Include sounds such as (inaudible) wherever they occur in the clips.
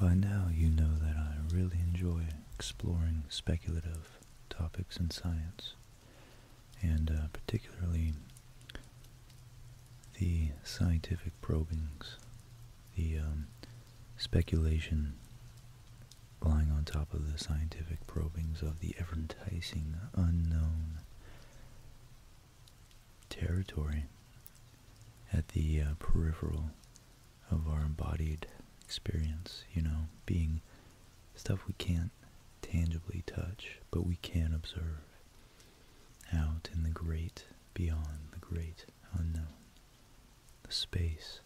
By now you know that I really enjoy exploring speculative topics in science, and uh, particularly the scientific probings, the um, speculation lying on top of the scientific probings of the ever-enticing unknown territory at the uh, peripheral of our embodied experience, you know, being stuff we can't tangibly touch, but we can observe out in the great beyond the great unknown, the space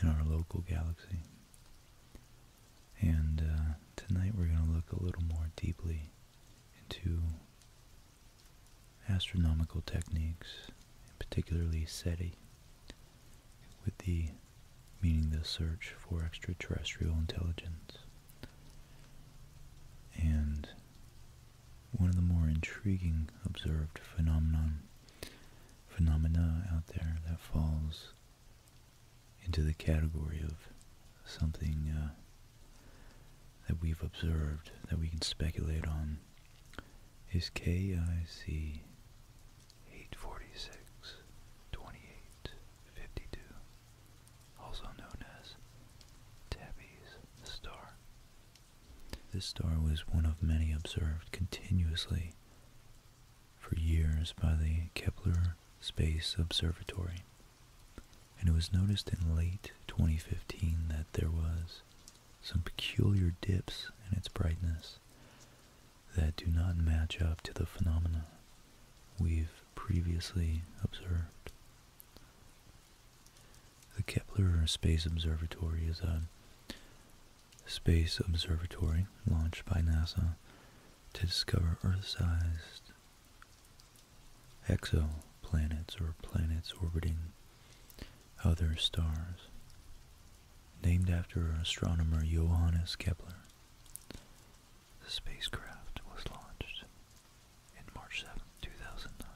in our local galaxy. And uh, tonight we're going to look a little more deeply into astronomical techniques, and particularly SETI, with the meaning the search for extraterrestrial intelligence. And one of the more intriguing observed phenomenon phenomena out there that falls into the category of something uh, that we've observed that we can speculate on is KIC eight forty six twenty eight fifty two also known as Tabby's star. This star was one of many observed continuously for years by the Kepler Space Observatory, and it was noticed in late 2015 that there was some peculiar dips in its brightness that do not match up to the phenomena we've previously observed. The Kepler Space Observatory is a space observatory launched by NASA to discover Earth-sized exoplanets or planets orbiting other stars, named after astronomer Johannes Kepler. The spacecraft was launched and March 7, 2009,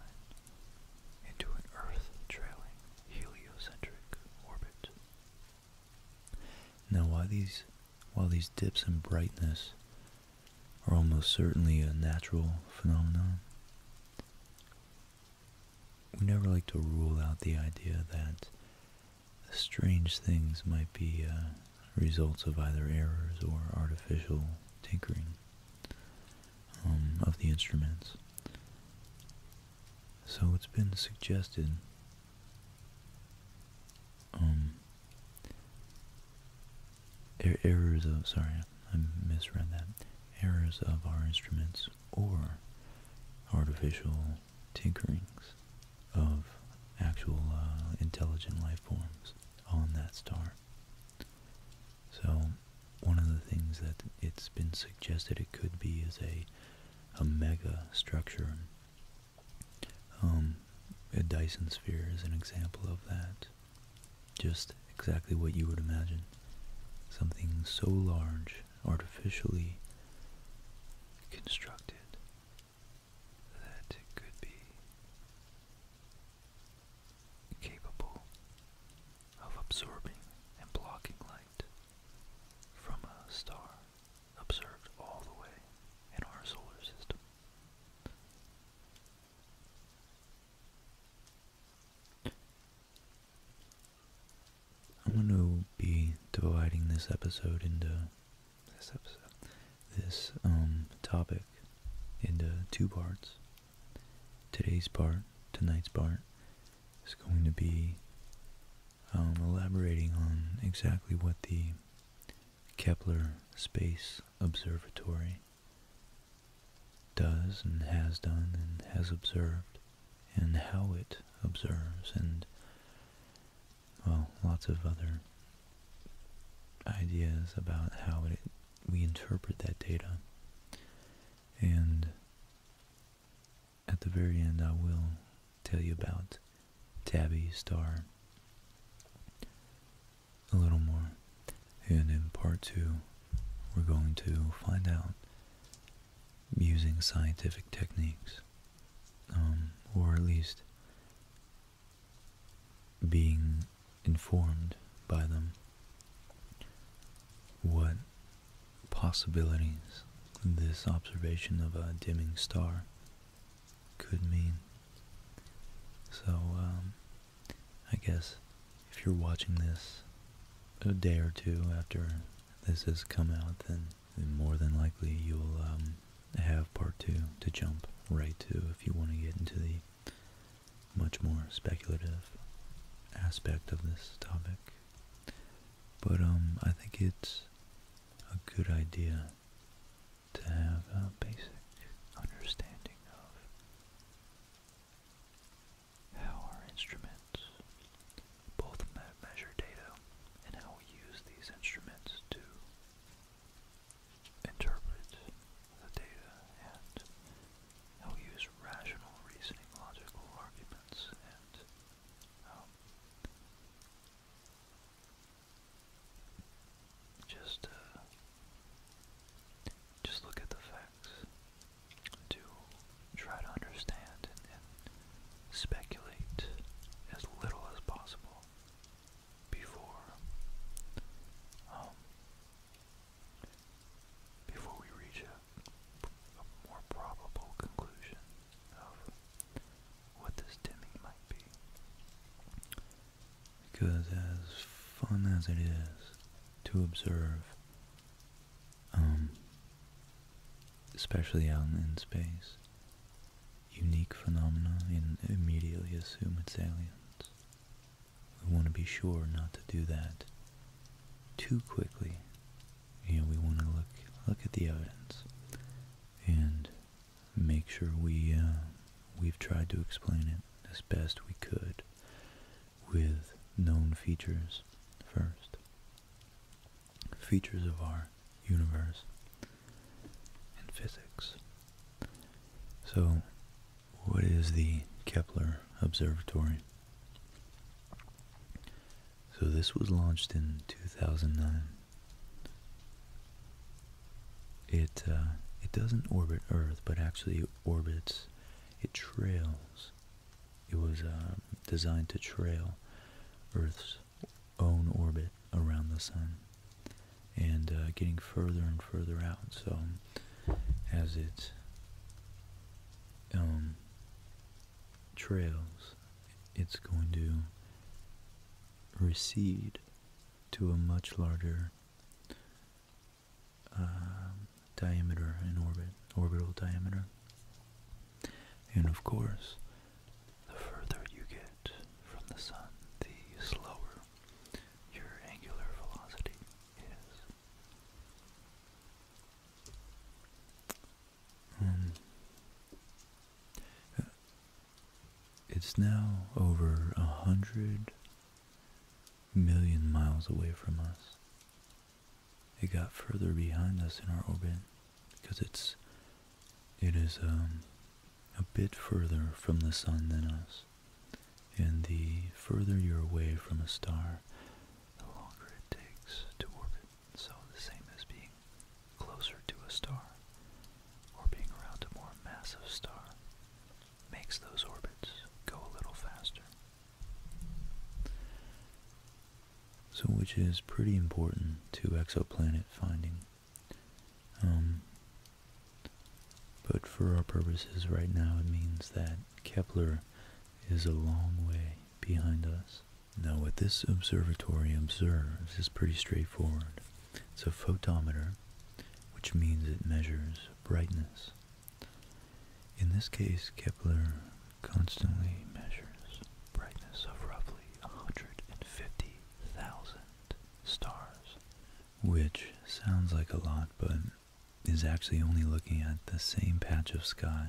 into an Earth-trailing heliocentric orbit. Now, while these, while these dips in brightness are almost certainly a natural phenomenon, we never like to rule out the idea that strange things might be uh, results of either errors or artificial tinkering um, of the instruments. So it's been suggested um, er, errors of, sorry, I misread that, errors of our instruments or artificial tinkerings of actual uh, intelligent life forms on that star. So one of the things that it's been suggested it could be is a a mega structure. Um, a Dyson sphere is an example of that. Just exactly what you would imagine. Something so large, artificially constructed, that it could be capable of absorbing and blocking light from a star observed all the way in our solar system. I'm going to be dividing this episode into this episode this um, topic into two parts. Today's part, tonight's part, is going to be um, elaborating on exactly what the Kepler Space Observatory does and has done and has observed and how it observes and, well, lots of other ideas about how we interpret that data. And at the very end, I will tell you about Tabby Star a little more. And in part two, we're going to find out using scientific techniques, um, or at least being informed by them what possibilities this observation of a dimming star could mean. So, um, I guess if you're watching this a day or two after this has come out, then, more than likely you'll um, have part two to jump right to if you want to get into the much more speculative aspect of this topic. But um, I think it's a good idea to have a basic understanding of how our instruments both measure data and how we use these instruments to interpret the data and he'll use rational reasoning, logical arguments, and um, just uh, just look at the facts to try to understand and, and speculate as little as possible before um, before we reach a, more probable conclusion of what this dimming might be. Because as fun as it is to observe, um, especially out in space, unique phenomena and immediately assume it's aliens. We want to be sure not to do that too quickly. You know, we want to look look at the evidence and make sure we uh, we've tried to explain it as best we could with known features first. Features of our universe and physics. So what is the Kepler Observatory? So this was launched in 2009. It uh, it doesn't orbit Earth, but actually it orbits. It trails. It was um, designed to trail Earth's own orbit around the sun and uh, getting further and further out. So as it um, trails, it's going to recede to a much larger um, diameter in orbit, orbital diameter. And of course, the further you get from the sun, the slower your angular velocity is. Uh, it's now over a hundred million miles away from us. It got further behind us in our orbit because it's it is um, a bit further from the sun than us and the further you're away from a star, the longer it takes to orbit. So the same as being closer to a star or being around a more massive star makes those orbits go a little faster. So which is pretty important to exoplanet finding. Um, but for our purposes right now, it means that Kepler is a long way behind us. Now what this observatory observes is pretty straightforward. It's a photometer, which means it measures brightness. In this case, Kepler constantly measures brightness of roughly 150,000 stars which sounds like a lot, but is actually only looking at the same patch of sky.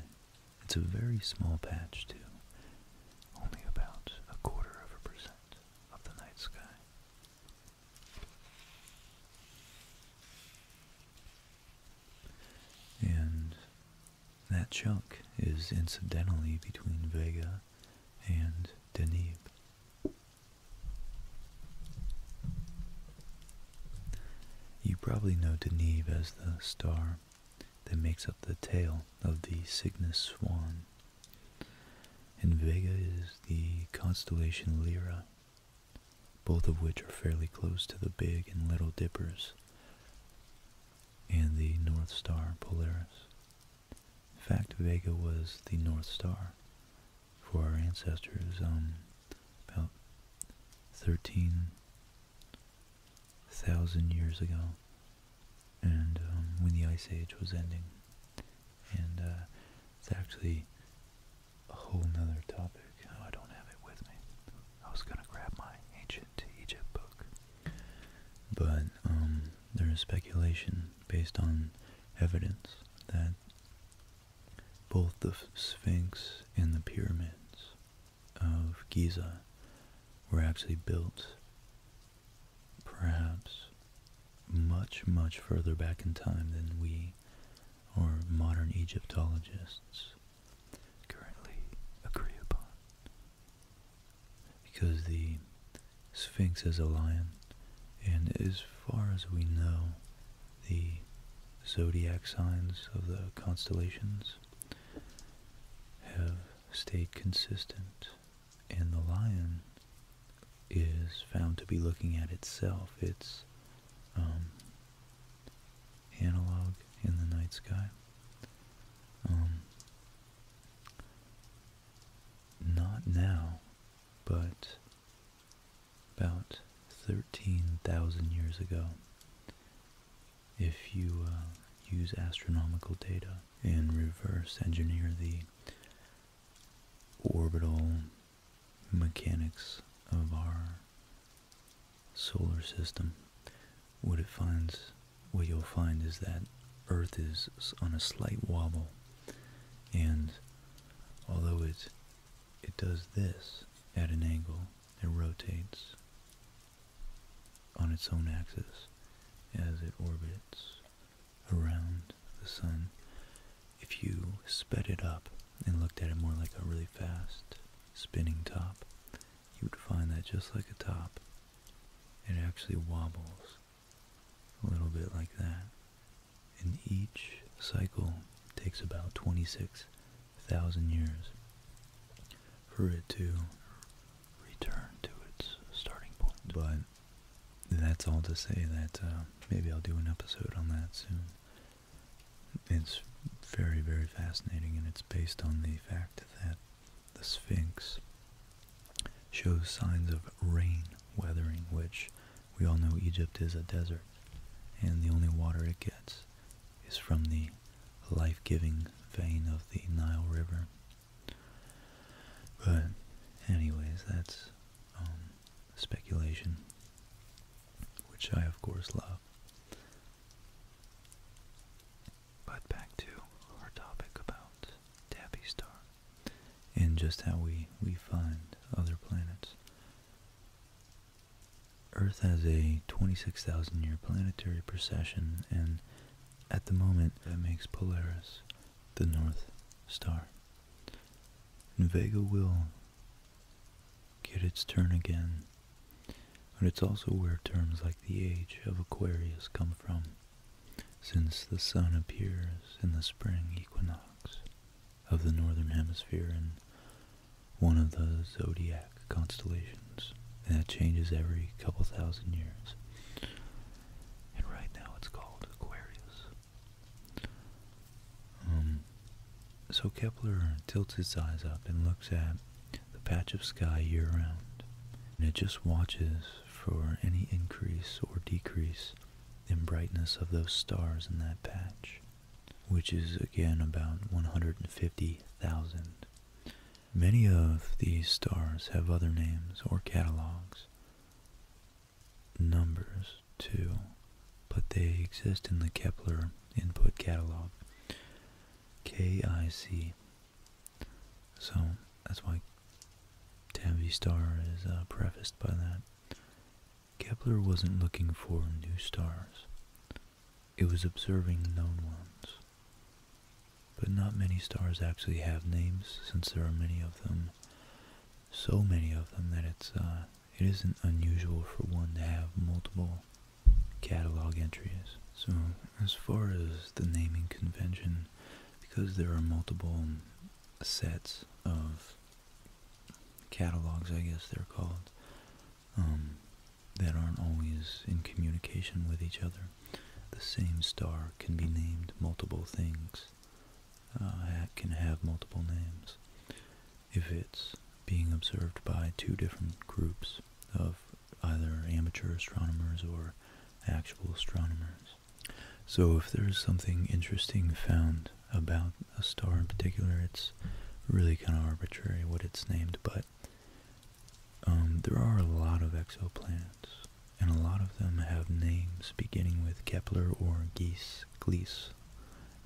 It's a very small patch, too, only about a quarter of a percent of the night sky. And that chunk is incidentally between Vega and Danube. You probably know Deneb as the star that makes up the tail of the Cygnus swan. And Vega is the constellation Lyra, both of which are fairly close to the Big and Little Dippers and the North Star Polaris. In fact, Vega was the North Star for our ancestors um, about 13,000 years ago, and um, when the Ice Age was ending. And uh, it's actually a whole other topic. Oh, I don't have it with me. I was going to grab my Ancient Egypt book. But um, there is speculation based on evidence that both the Sphinx and the pyramids of Giza were actually built perhaps much, much further back in time than we or modern Egyptologists currently agree upon. Because the Sphinx is a lion, and as far as we know, the zodiac signs of the constellations have stayed consistent, and the lion is found to be looking at itself, its um, analog in the night sky. Um, not now, but about 13,000 years ago, if you uh, use astronomical data and reverse engineer the orbital mechanics of our solar system, what it finds, what you'll find is that Earth is on a slight wobble, and although it, it does this at an angle. It rotates on its own axis as it orbits around the sun. If you sped it up and looked at it more like a really fast spinning top, you would find that just like a top, it actually wobbles a little bit like that and each cycle takes about 26,000 years for it to return to its starting point. But that's all to say that uh, maybe I'll do an episode on that soon. It's very, very fascinating, and it's based on the fact that the Sphinx shows signs of rain weathering, which we all know Egypt is a desert, and the only water it gets is from the life-giving vein of the Nile River. But anyways, that's um, speculation, which I of course love. But back to our topic about Tabby Star and just how we, we find other planets. Earth has a 26,000 year planetary procession, and at the moment it makes Polaris the North Star. And Vega will get its turn again, but it's also where terms like the age of Aquarius come from since the sun appears in the spring equinox of the northern hemisphere in one of the zodiac constellations. And that changes every couple thousand years. And right now it's called Aquarius. Um, so Kepler tilts his eyes up and looks at the patch of sky year round. And it just watches for any increase or decrease and brightness of those stars in that patch, which is again about 150,000. Many of these stars have other names or catalogs, numbers too, but they exist in the Kepler input catalog, KIC. So that's why Tabby Star is uh, prefaced by that. Kepler wasn't looking for new stars. It was observing known ones. But not many stars actually have names since there are many of them, so many of them that it's uh, it isn't unusual for one to have multiple catalog entries. So as far as the naming convention, because there are multiple sets of catalogs, I guess they're called, um, that aren't always in communication with each other. The same star can be named multiple things, uh, can have multiple names. If it's being observed by two different groups of either amateur astronomers or actual astronomers. So if there's something interesting found about a star in particular, it's really kind of arbitrary what it's named, but um, there are a lot of exoplanets, and a lot of them have names beginning with Kepler or Geese, Gliese,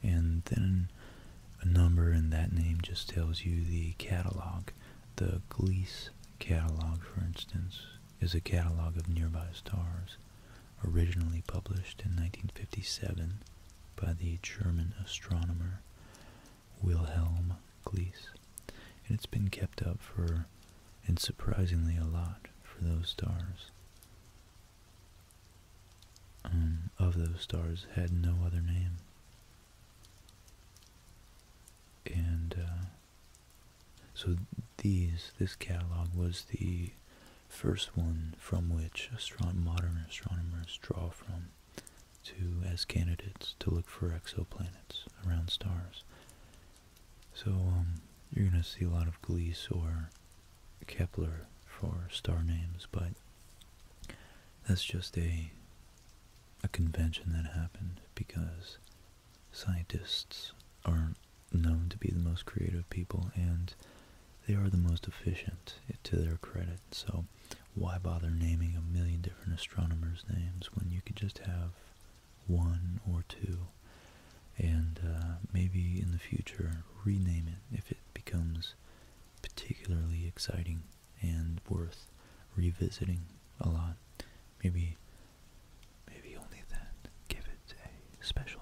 and then a number in that name just tells you the catalog, the Gliese catalog, for instance, is a catalog of nearby stars originally published in 1957 by the German astronomer Wilhelm Gliese. And it's been kept up for, and surprisingly a lot, for those stars. Um, of those stars had no other name. And uh, so these, this catalog was the first one from which modern astronomers draw from to as candidates to look for exoplanets around stars. So um, you're going to see a lot of Gliese or Kepler for star names, but that's just a a convention that happened because Scientists are known to be the most creative people and they are the most efficient eh, to their credit. So why bother naming a million different astronomers' names when you could just have one or two? And uh, maybe in the future rename it if it becomes particularly exciting and worth revisiting a lot. Maybe Maybe only then give it a special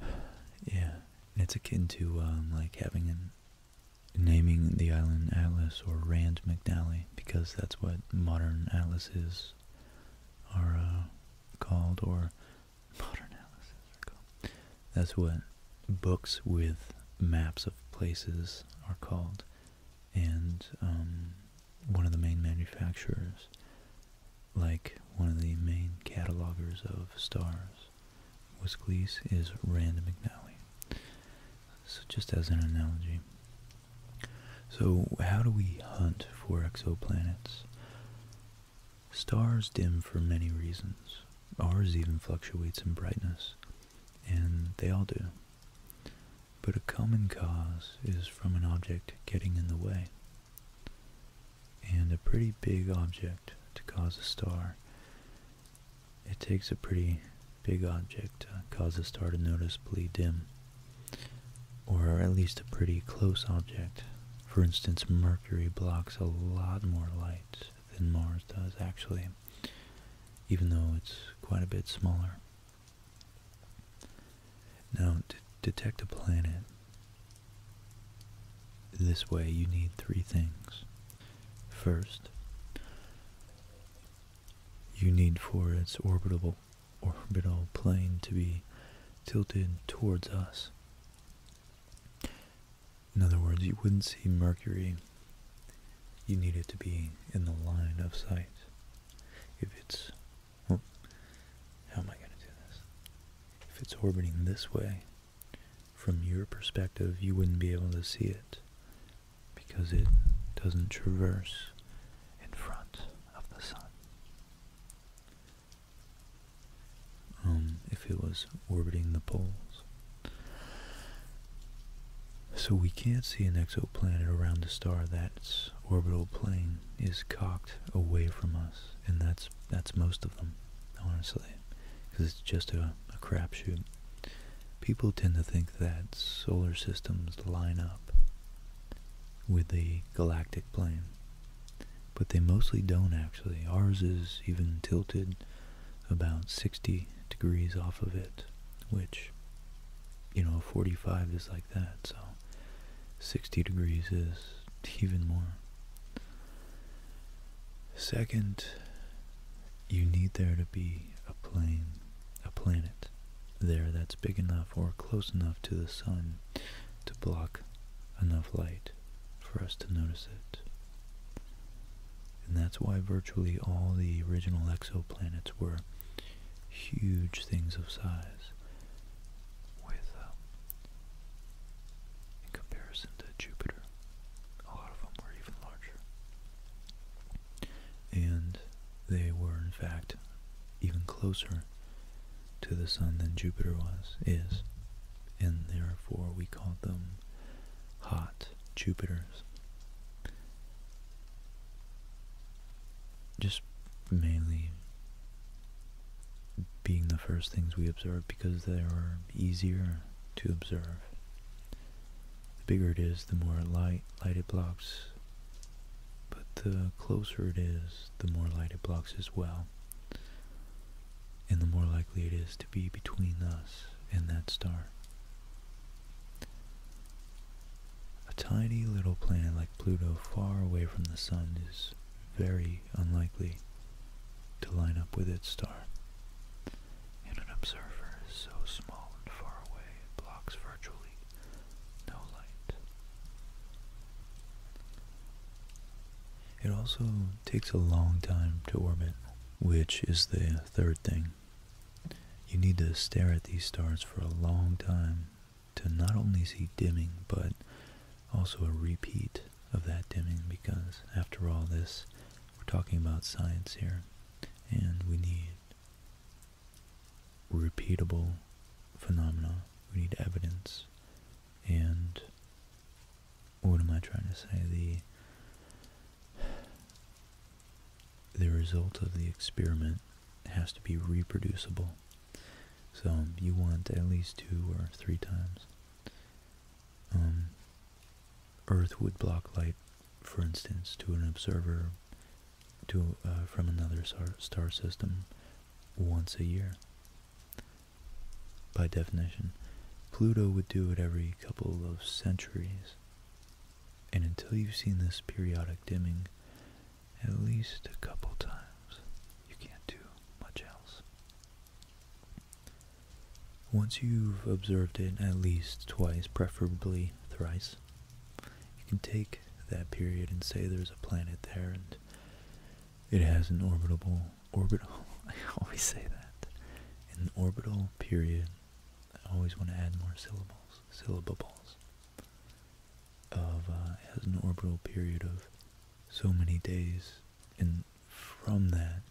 name. (sighs) yeah, it's akin to um, like having an naming the island Atlas or Rand McNally because that's what modern atlases are uh, called or (laughs) modern atlases That's what books with maps of places are called and um, one of the main manufacturers, like one of the main catalogers of stars, Wiscleese is Rand McNally. So just as an analogy. So how do we hunt for exoplanets? Stars dim for many reasons. Ours even fluctuates in brightness, and they all do but a common cause is from an object getting in the way. And a pretty big object to cause a star, it takes a pretty big object to cause a star to noticeably dim, or at least a pretty close object. For instance, Mercury blocks a lot more light than Mars does actually, even though it's quite a bit smaller. Now, to detect a planet this way, you need three things. First, you need for its orbital, plane to be tilted towards us. In other words, you wouldn't see Mercury. You need it to be in the line of sight if it's, oh, how am I going to do this? If it's orbiting this way, from your perspective, you wouldn't be able to see it because it doesn't traverse in front of the sun. Um, if it was orbiting the poles, so we can't see an exoplanet around a star that's orbital plane is cocked away from us, and that's that's most of them, honestly, because it's just a, a crapshoot. People tend to think that solar systems line up with the galactic plane, but they mostly don't actually. Ours is even tilted about 60 degrees off of it, which you know, 45 is like that, so 60 degrees is even more. Second, you need there to be a plane, a planet there that's big enough or close enough to the sun to block enough light for us to notice it. And that's why virtually all the original exoplanets were huge things of size with, um, in comparison to Jupiter, a lot of them were even larger. And they were, in fact, even closer to the Sun than Jupiter was, is, and therefore we call them hot Jupiters just mainly being the first things we observe because they are easier to observe. The bigger it is, the more light, light it blocks, but the closer it is, the more light it blocks as well, and the more likely it is to be between us and that star. A tiny little planet like Pluto far away from the Sun is very unlikely to line up with its star. And an observer is so small and far away it blocks virtually no light. It also takes a long time to orbit, which is the third thing you need to stare at these stars for a long time to not only see dimming, but also a repeat of that dimming because after all this, we're talking about science here and we need repeatable phenomena. We need evidence and what am I trying to say? The the result of the experiment has to be reproducible. So um, you want at least two or three times. Um, Earth would block light, for instance, to an observer to uh, from another star system once a year. By definition, Pluto would do it every couple of centuries. And until you've seen this periodic dimming at least a couple times, you can't do much else. Once you've observed it at least twice, preferably thrice, you can take that period and say there's a planet there and it has an orbital orbital (laughs) I always say that. An orbital period I always want to add more syllables balls, syllable of uh, has an orbital period of so many days, and from that,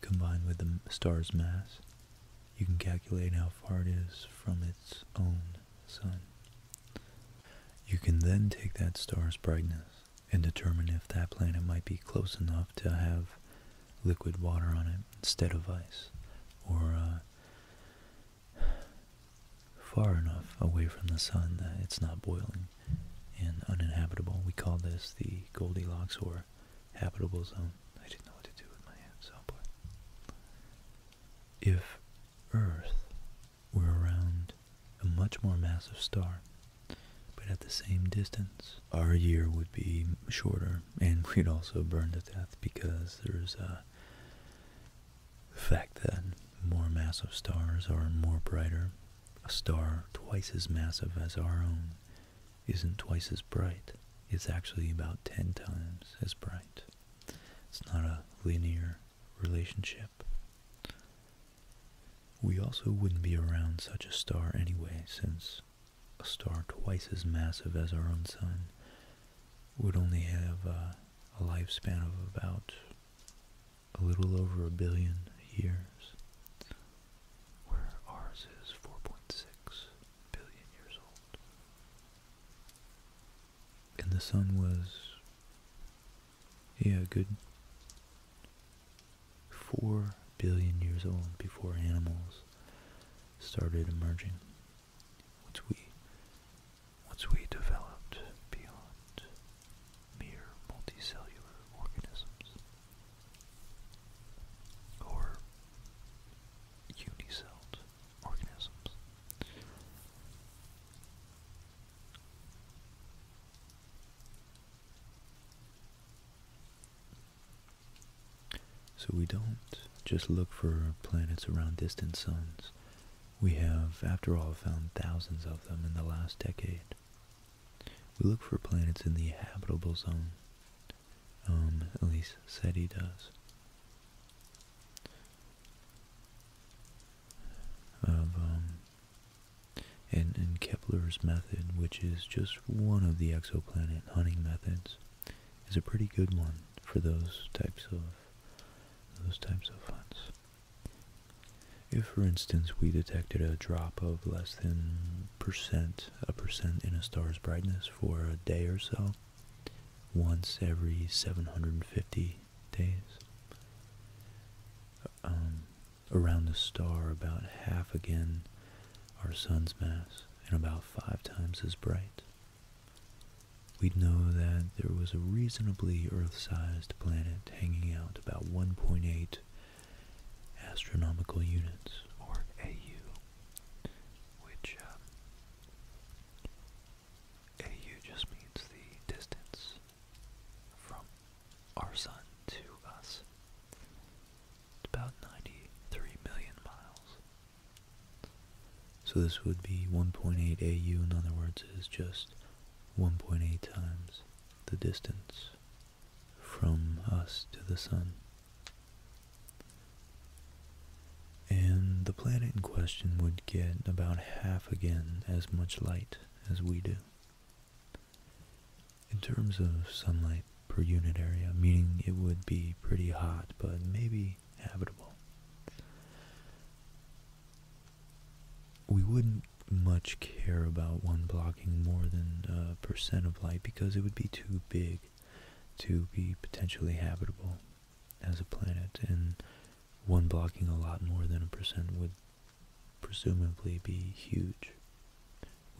combined with the star's mass, you can calculate how far it is from its own sun. You can then take that star's brightness and determine if that planet might be close enough to have liquid water on it instead of ice, or uh, far enough away from the sun that it's not boiling and uninhabitable. We call this the Goldilocks or habitable zone. I didn't know what to do with my hands, oh boy. If Earth were around a much more massive star, but at the same distance, our year would be shorter and (laughs) we'd also burn to death because there's a. Uh, the fact that more massive stars are more brighter. A star twice as massive as our own isn't twice as bright. It's actually about 10 times as bright. It's not a linear relationship. We also wouldn't be around such a star anyway, since a star twice as massive as our own sun would only have uh, a lifespan of about a little over a billion years, where ours is 4.6 billion years old. And the sun was, yeah, good 4 billion years old before animals started emerging once we once we developed beyond mere multicellular organisms or unicelled organisms. So we don't just look for planets around distant suns. We have, after all, found thousands of them in the last decade. We look for planets in the habitable zone. Um, at least he does. Of, um, and, and Kepler's method, which is just one of the exoplanet hunting methods is a pretty good one for those types of those types of funds. If, for instance, we detected a drop of less than a percent in a star's brightness for a day or so, once every 750 days, um, around the star about half again our sun's mass and about five times as bright. We'd know that there was a reasonably Earth-sized planet hanging out about 1.8 astronomical units, or AU, which um, AU just means the distance from our sun to us. about 93 million miles. So this would be 1.8 AU, in other words, is just 1.8 times the distance from us to the sun. And the planet in question would get about half again as much light as we do. In terms of sunlight per unit area, meaning it would be pretty hot, but maybe habitable. We wouldn't much care about one blocking more than a uh, percent of light because it would be too big to be potentially habitable as a planet, and one blocking a lot more than a percent would presumably be huge.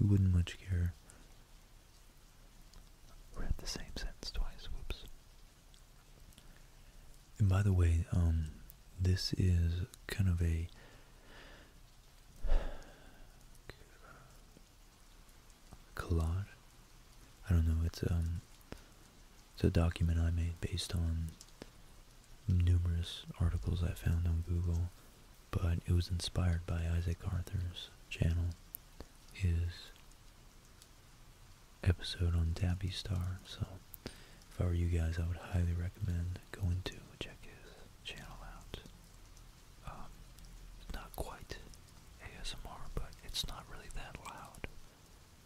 We wouldn't much care Read the same sentence twice, whoops. And by the way, um, this is kind of a collage. I don't know, um, it's a document I made based on numerous articles I found on Google, but it was inspired by Isaac Arthur's channel, his episode on Dabby Star. So if I were you guys, I would highly recommend going to check his channel out. Um, it's not quite ASMR, but it's not really that loud,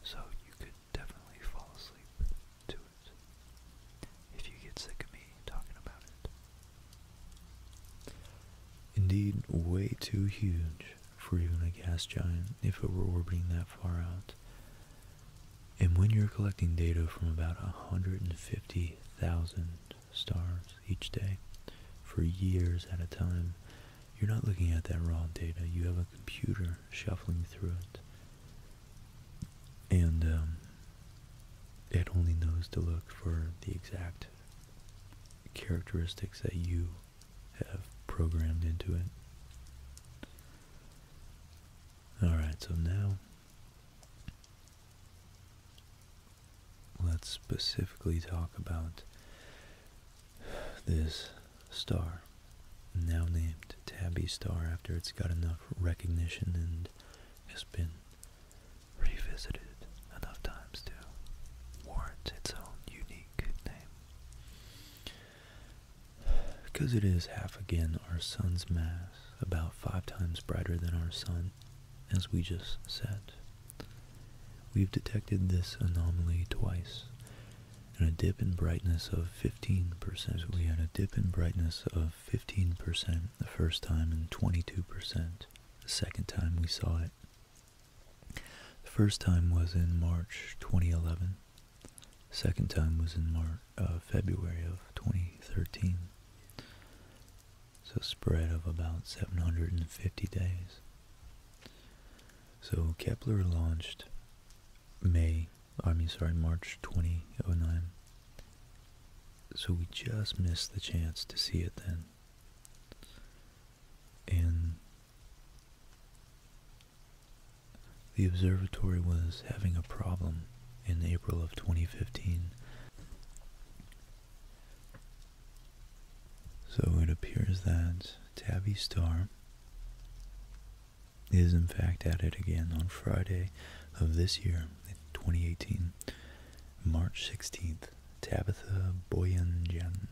so you could definitely fall asleep to it if you get sick of me talking about it. Indeed, way too huge for even a gas giant if it were orbiting that far out. And when you're collecting data from about 150,000 stars each day for years at a time, you're not looking at that raw data. You have a computer shuffling through it. And um, it only knows to look for the exact characteristics that you have programmed into it. Alright, so now let's specifically talk about this star, now named Tabby Star after it's got enough recognition and has been revisited enough times to warrant its own unique name. Because it is half again our sun's mass, about five times brighter than our sun, as we just said. We've detected this anomaly twice, and a dip in brightness of 15%. We had a dip in brightness of 15% the first time and 22% the second time we saw it. The first time was in March 2011. Second time was in March, uh, February of 2013. So spread of about 750 days. So Kepler launched May, I mean sorry, March 2009. So we just missed the chance to see it then and the observatory was having a problem in April of 2015. So it appears that Tabby Star is in fact at it again on Friday of this year, 2018, March 16th. Tabitha Boyanjan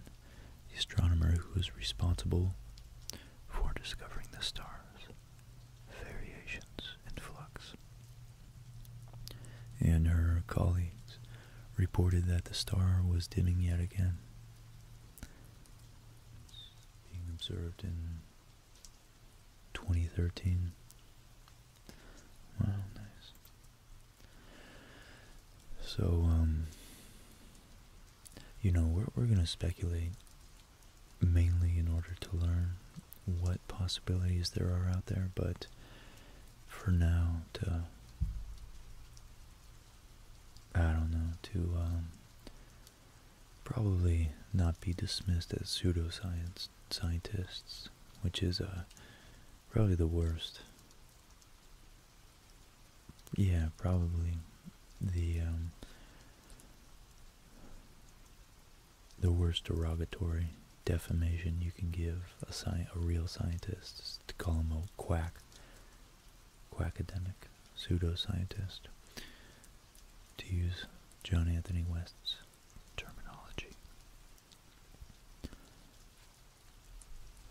the astronomer who was responsible for discovering the stars, variations, and flux. And her colleagues reported that the star was dimming yet again. being observed in 2013. Wow, nice. So, um, you know, we're, we're going to speculate mainly in order to learn what possibilities there are out there, but for now, to, I don't know, to um, probably not be dismissed as pseudoscience scientists, which is uh, probably the worst yeah, probably the um, the worst derogatory defamation you can give a a real scientist is to call him a quack, quackademic, pseudo scientist. To use John Anthony West's terminology.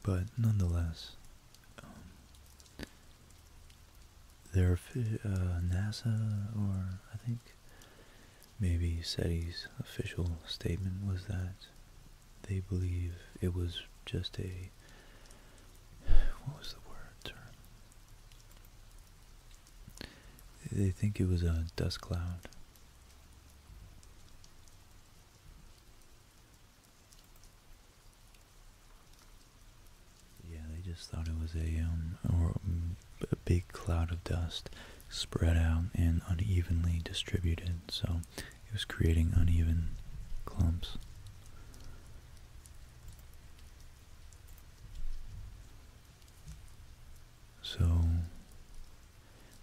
But nonetheless, um, there are uh, NASA or I think maybe SETI's official statement was that they believe it was just a what was the word term? They think it was a dust cloud. Yeah, they just thought it was a um or um, a big cloud of dust spread out and unevenly distributed, so it was creating uneven clumps. So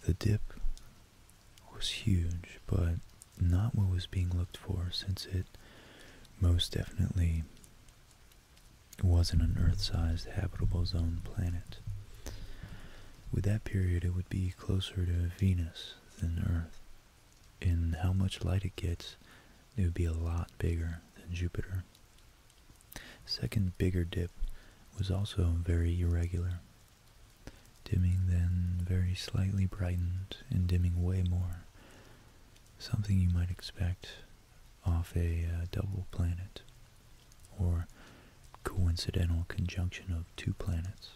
the dip was huge, but not what was being looked for since it most definitely wasn't an Earth-sized habitable zone planet. With that period, it would be closer to Venus than Earth. In how much light it gets, it would be a lot bigger than Jupiter. Second bigger dip was also very irregular. Dimming then very slightly brightened and dimming way more. Something you might expect off a uh, double planet or coincidental conjunction of two planets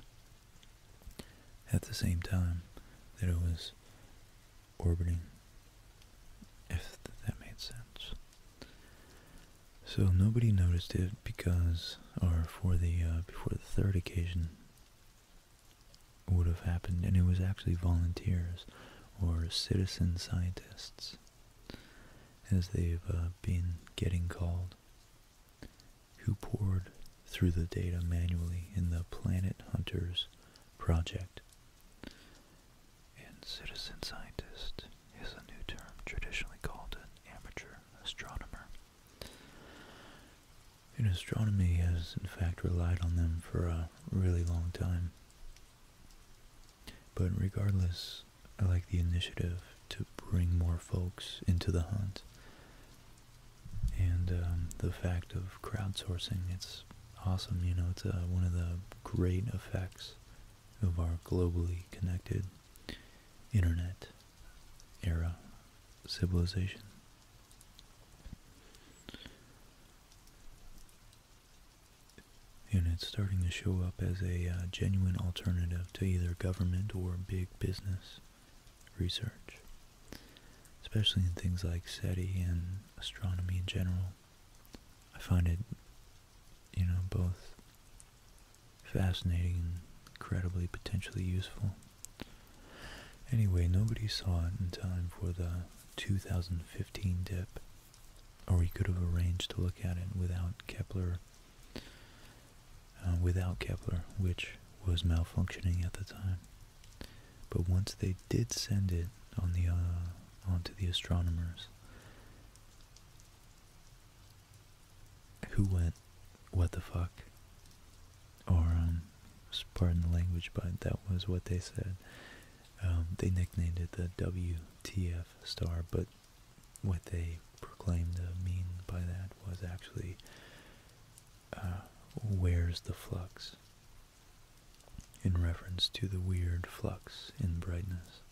at the same time that it was orbiting, if that made sense. So nobody noticed it because, or for the, uh, before the third occasion would have happened, and it was actually volunteers or citizen scientists, as they've uh, been getting called, who poured through the data manually in the Planet Hunters project. And citizen scientist is a new term traditionally called an amateur astronomer. And astronomy has, in fact, relied on them for a really long time. But regardless, I like the initiative to bring more folks into the hunt. And um, the fact of crowdsourcing, it's awesome, you know, it's uh, one of the great effects of our globally connected internet era civilization. And it's starting to show up as a uh, genuine alternative to either government or big business research, especially in things like SETI and astronomy in general. I find it, you know, both fascinating and incredibly potentially useful. Anyway, nobody saw it in time for the 2015 dip, or we could have arranged to look at it without Kepler, uh, without Kepler, which was malfunctioning at the time. But once they did send it on the uh, onto the astronomers, who went, what the fuck, or, um, pardon the language, but that was what they said. Um, they nicknamed it the WTF star, but what they proclaimed to mean by that was actually, uh, where's the flux, in reference to the weird flux in brightness.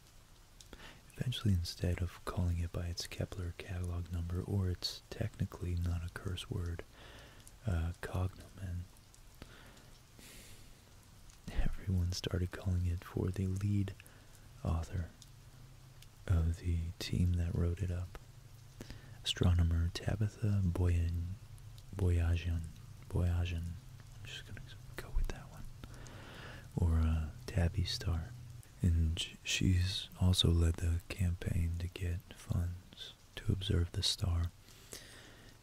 Eventually, instead of calling it by its Kepler catalog number, or its technically not a curse word, uh, cognomen, everyone started calling it for the lead author of the team that wrote it up, astronomer Tabitha Boyan, Boyajian, Boyajian. just gonna go with that one, or uh, Tabby Star. And she's also led the campaign to get funds to observe the star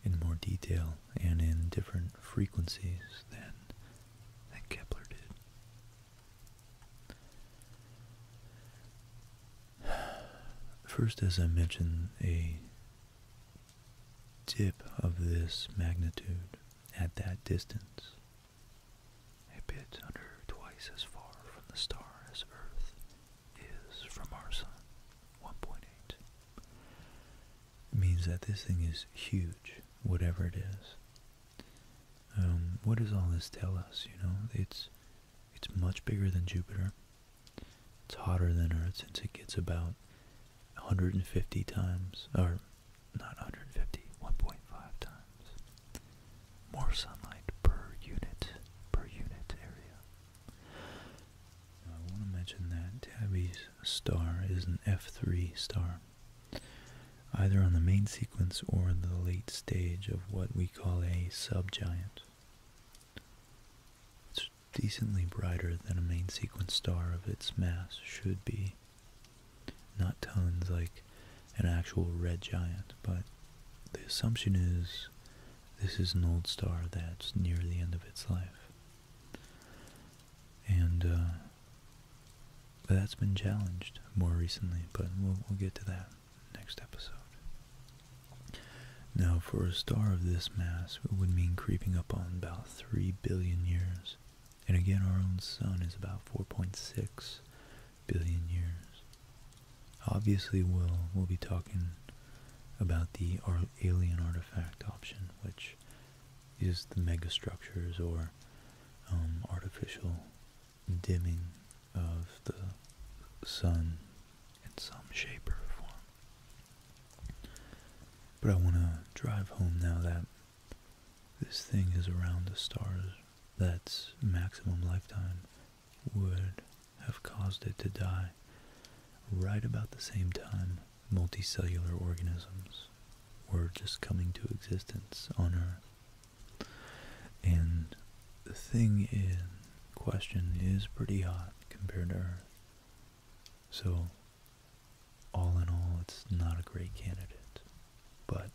in more detail and in different frequencies than, than Kepler did. First, as I mentioned, a dip of this magnitude at that distance a bit under twice as far from the star as Earth is from our Sun, 1.8. means that this thing is huge, whatever it is. Um, what does all this tell us, you know? It's, it's much bigger than Jupiter. It's hotter than Earth since it gets about 150 times, or 950 1.5 times more sunlight per unit per unit area. I want to mention that Tabby's star is an F3 star, either on the main sequence or in the late stage of what we call a subgiant. It's decently brighter than a main sequence star of its mass should be. Not tons like an actual red giant, but the assumption is this is an old star that's near the end of its life. And uh, that's been challenged more recently, but we'll get to that next episode. Now, for a star of this mass, it would mean creeping up on about 3 billion years and again, our own sun is about 4.6 billion years. Obviously, we'll, we'll be talking about the alien artifact option, which is the megastructures or um, artificial dimming of the sun in some shape or form. But I want to drive home now that this thing is around the stars that's maximum lifetime would have caused it to die right about the same time multicellular organisms were just coming to existence on Earth. And the thing in question is pretty hot compared to Earth. So, all in all, it's not a great candidate but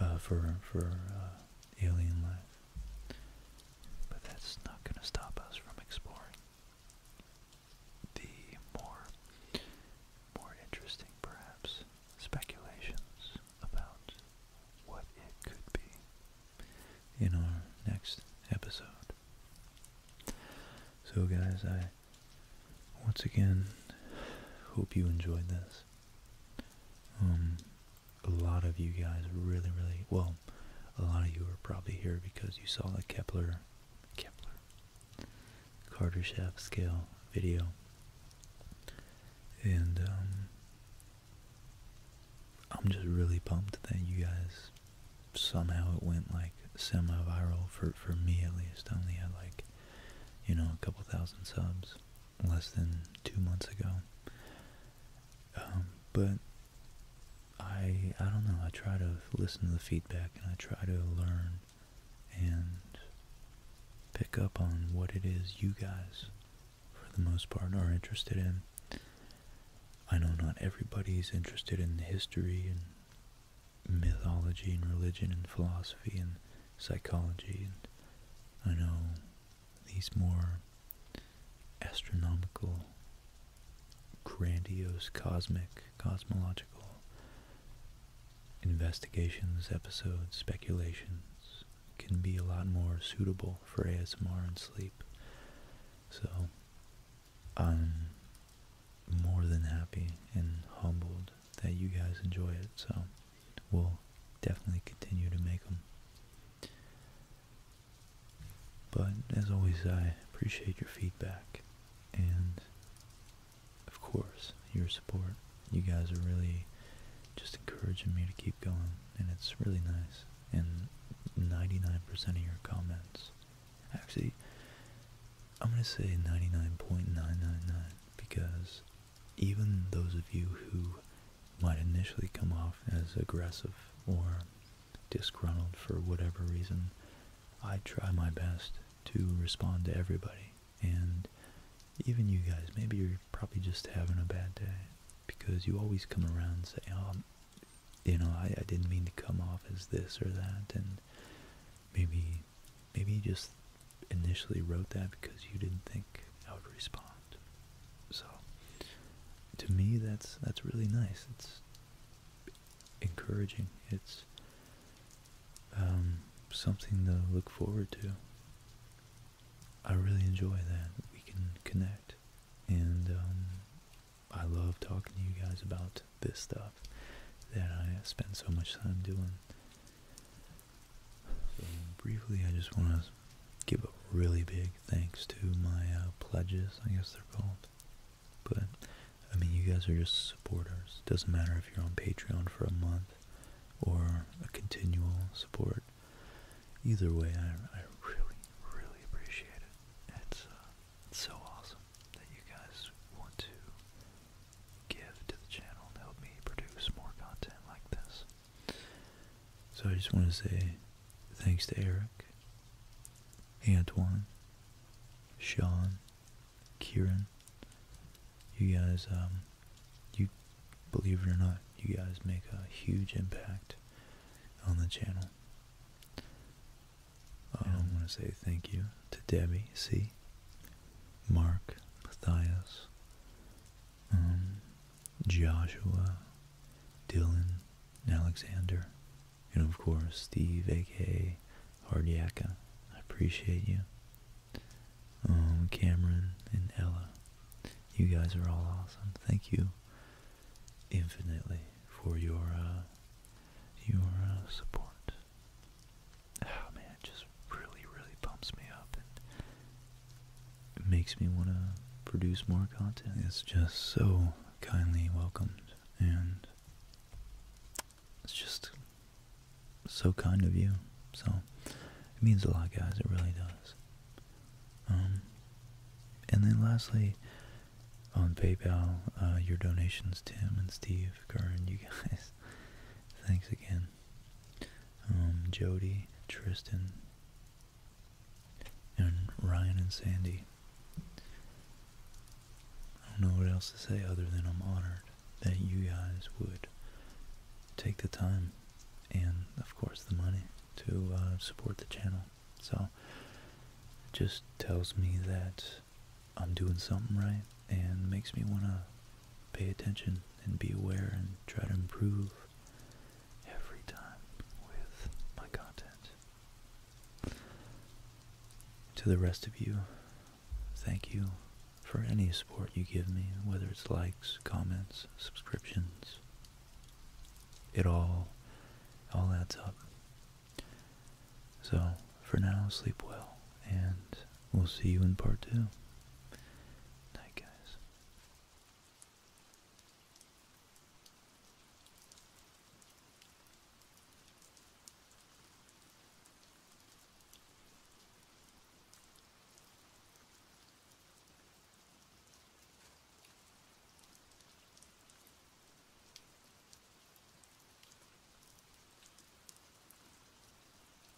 uh, for for uh, alien life. But that's not going to stop us from exploring the more more interesting, perhaps, speculations about what it could be in our next episode. So, guys, I once again, hope you enjoyed this. Um, a lot of you guys really, really, well, a lot of you are probably here because you saw the Kepler, Kepler, Kardashev scale video. And, um, I'm just really pumped that you guys somehow it went like semi-viral for for me at least. only had like you know, a couple thousand subs less than two months ago. Um, but I, I don't know, I try to listen to the feedback and I try to learn and pick up on what it is you guys, for the most part, are interested in. I know not everybody's interested in the history and mythology and religion and philosophy and psychology and I know these more astronomical, grandiose, cosmic, cosmological investigations, episodes, speculations can be a lot more suitable for ASMR and sleep. So I'm more than happy and humbled that you guys enjoy it, so we'll definitely continue to make them. But as always, I appreciate your feedback and, of course, your support. You guys are really just encouraging me to keep going, and it's really nice. And 99% of your comments, actually, I'm going to say 99.999 because even those of you who might initially come off as aggressive or disgruntled for whatever reason, I try my best to respond to everybody. And even you guys, maybe you're probably just having a bad day because you always come around and say, oh, you know, I, I didn't mean to come off as this or that. And maybe Maybe you just initially wrote that because you didn't think I would respond. So, to me, that's that's really nice. It's encouraging. It's um, something to look forward to. I really enjoy that we can connect, and um, I love talking to you guys about this stuff that I spend so much time doing briefly, I just want to give a really big thanks to my uh, pledges, I guess they're called. But, I mean, you guys are just supporters. Doesn't matter if you're on Patreon for a month or a continual support. Either way, I, really, really appreciate it. it's uh, so awesome that you guys want to give to the channel and help me produce more content like this. So I just want to say thanks to Eric, Antoine, Sean, Kieran. You guys, um, you believe it or not, you guys make a huge impact on the channel. Um, I want to say thank you to Debbie C. Mark, Matthias, um, Joshua, Dylan, Alexander, and of course Steve, aka Hardyaka. I appreciate you. Um, Cameron and Ella, you guys are all awesome. Thank you infinitely for your uh, your uh, support oh man, it just really, really pumps me up and makes me want to produce more content. It's just so kindly welcomed and it's just so kind of you. So it means a lot, guys. It really does. Um, and then lastly, on PayPal, uh, your donations, Tim and Steve, Karen, you (laughs) guys, Thanks again. Um, Jody, Tristan, and Ryan and Sandy. I don't know what else to say other than I'm honored that you guys would take the time and, of course, the money to uh, support the channel. So, it just tells me that I'm doing something right and makes me want to pay attention and be aware and try to improve every time with my content. To the rest of you, thank you for any support you give me, whether it's likes, comments, subscriptions. It all, all adds up. So, for now, sleep well and We'll see you in part two. Night, guys.